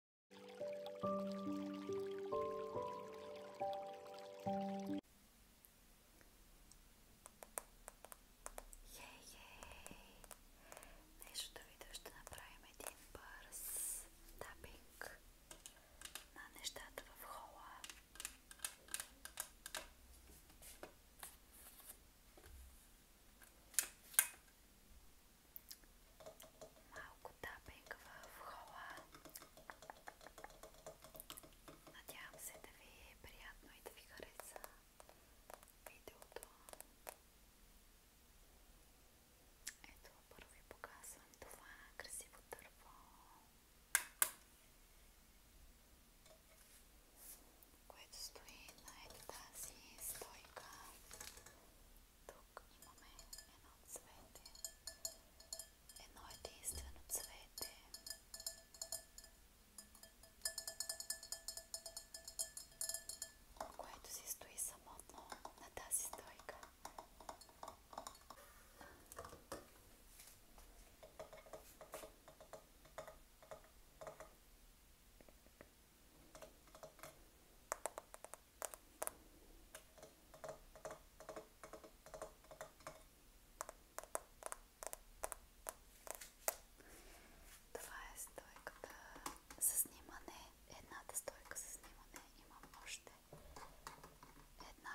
Хей, хей! Днешното видео ще направим един бърз тапинг на нещата в хола. Малко тапинг в хола. Надявам се да ви е приятно и да ви хареса видеото. Ето първо ви показвам това красиво дърво, което стои на ето тази стойка. Тук имаме едно цвете, едно единствено цвете. Което си стои самотно на тази стойка. Това е стойката за снимане. Едната стойка за снимане имам още. Една.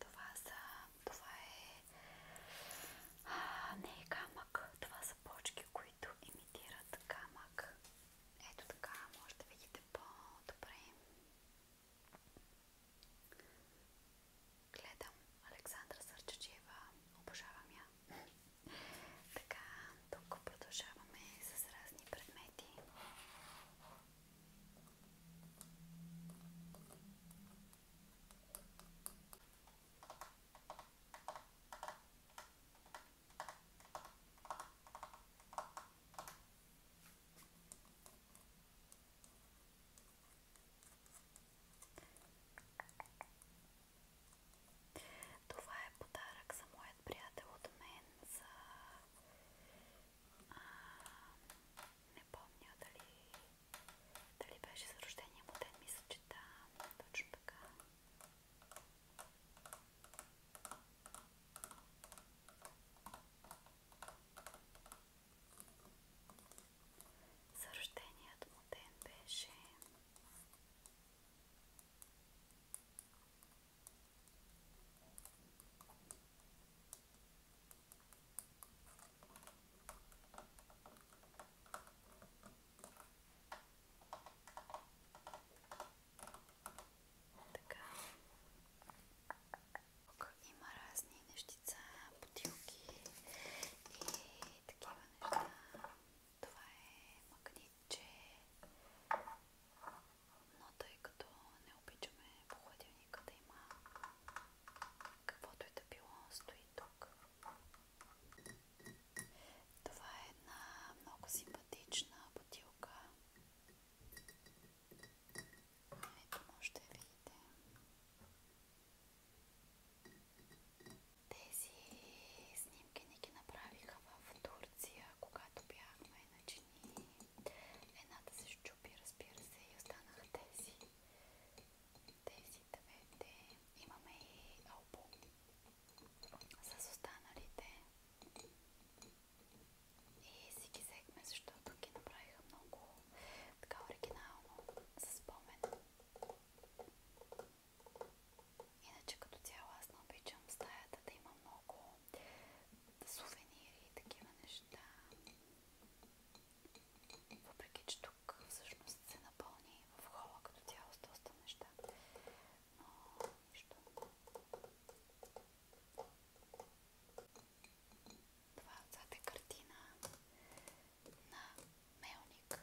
Това, са, това е а, не е камък, това са почки, които имитират камък. Ето така, може да видите по-добре. Гледам Александра Сърчачева, обожавам я. така, тук продължаваме с разни предмети. Това е подарък за моят приятел от мен за... А, не помня дали дали беше за рождения му ден? Мисля, че да, точно така. За рожденият му ден беше... Така. Тук има разни нещица, бутилки и такива неща. Това е магнитче, но тъй като не обичаме по хладилника да има Каквото и да било стои тук. Това е една много симпатична бутилка. Ето може да видите. Тези снимки не ги направиха в Турция, когато бяхме, иначе ни Едната се щупи, разбира се, и останаха тези. Тези двете. Имаме и албум с останалите. И си ги взехме, защото ги направиха много така оригинално, със спомен. Иначе като цяло аз не обичам стаята да има много сувенири и такива неща. Въпреки, че тук всъщност се напълни в хола като цяло с доста неща. Но нищо. Това отзад е картина на мелник.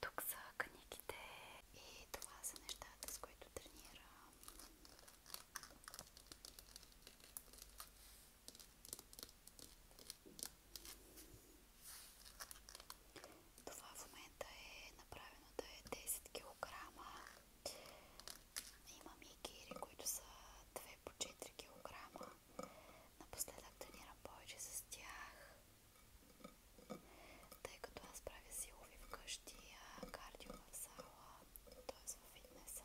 Тук са книгите и това са нещата, с които тренирам. Това в момента е направено да е 10 кг. Имам и кири, които са 2 по 4 кг. Напоследък тренирам повече с тях, тъй като аз правя силови вкъщи, а кардио в зала, т.е. в фитнеса.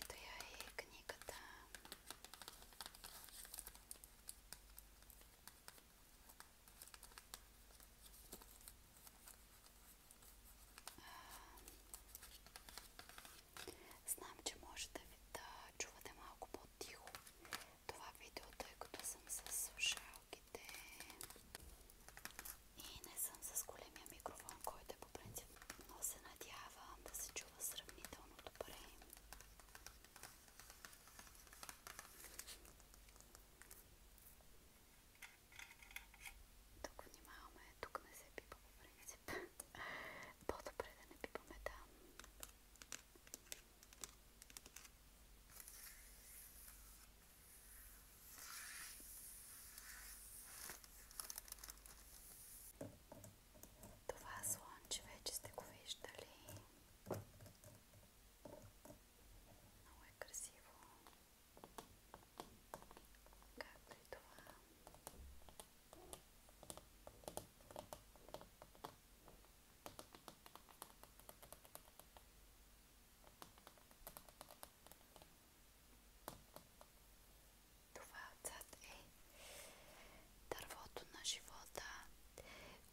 Ето я и книгата. Знам, че може да ви да чувате малко по-тихо това видео, тъй като съм с слушалките. И не съм с големия микрофон, който е по принцип, но се надявам да се чува сравнително добре. Тук внимаваме, тук не се пипа по принцип. По-добре да не пипаме там. Това слънче вече сте го виждали. Много е красиво. Както и е това. Това отзад е дървото на живота,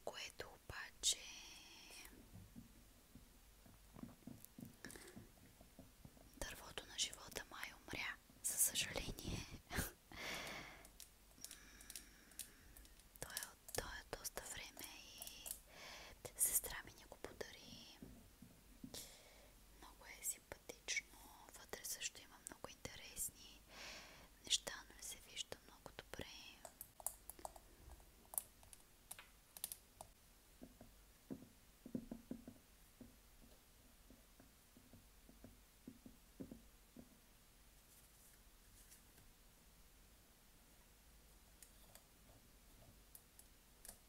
което обаче дървото на живота май умря, за съжаление. То е, то е доста време и сестра ми не го подари много е симпатично. Вътре също има много интересни неща, но не се вижда много добре.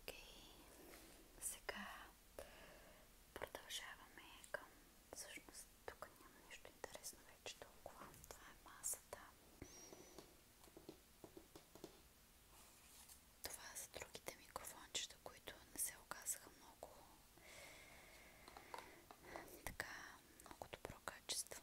Окей, сега продължаваме към... Всъщност тук няма нищо интересно вече толкова. Това е масата. Това са другите микрофончета, които не се оказаха много така, много добро качество.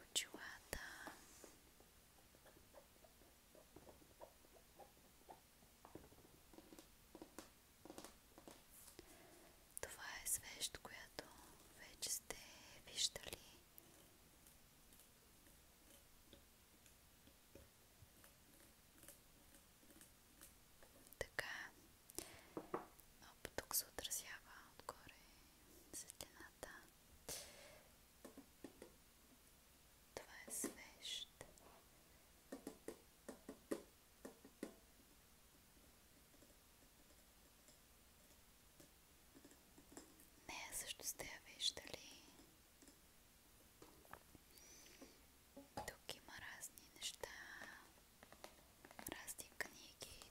от чулата. Това е свещ, която вече сте виждали. Така, тук се отразява отгоре светлината. Това е свещ. Нея също сте я виждали. Тук има разни неща, разни книги.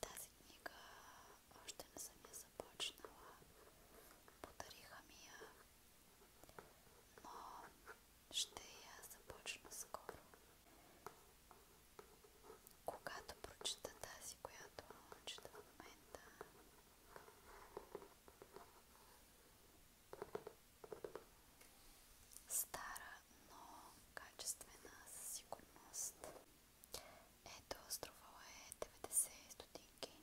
Тази книга още не съм я започнала. Подариха ми я но ще я започна скоро. Когато прочета тази, която чета в момента, стара, но качествена със сигурност. Ето, струвала е 90 стотинки.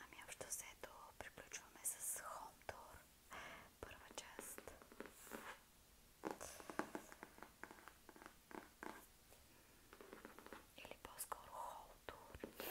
Ами общо взето приключваме с Home Tour, първа част. Или по-скоро Home Tour.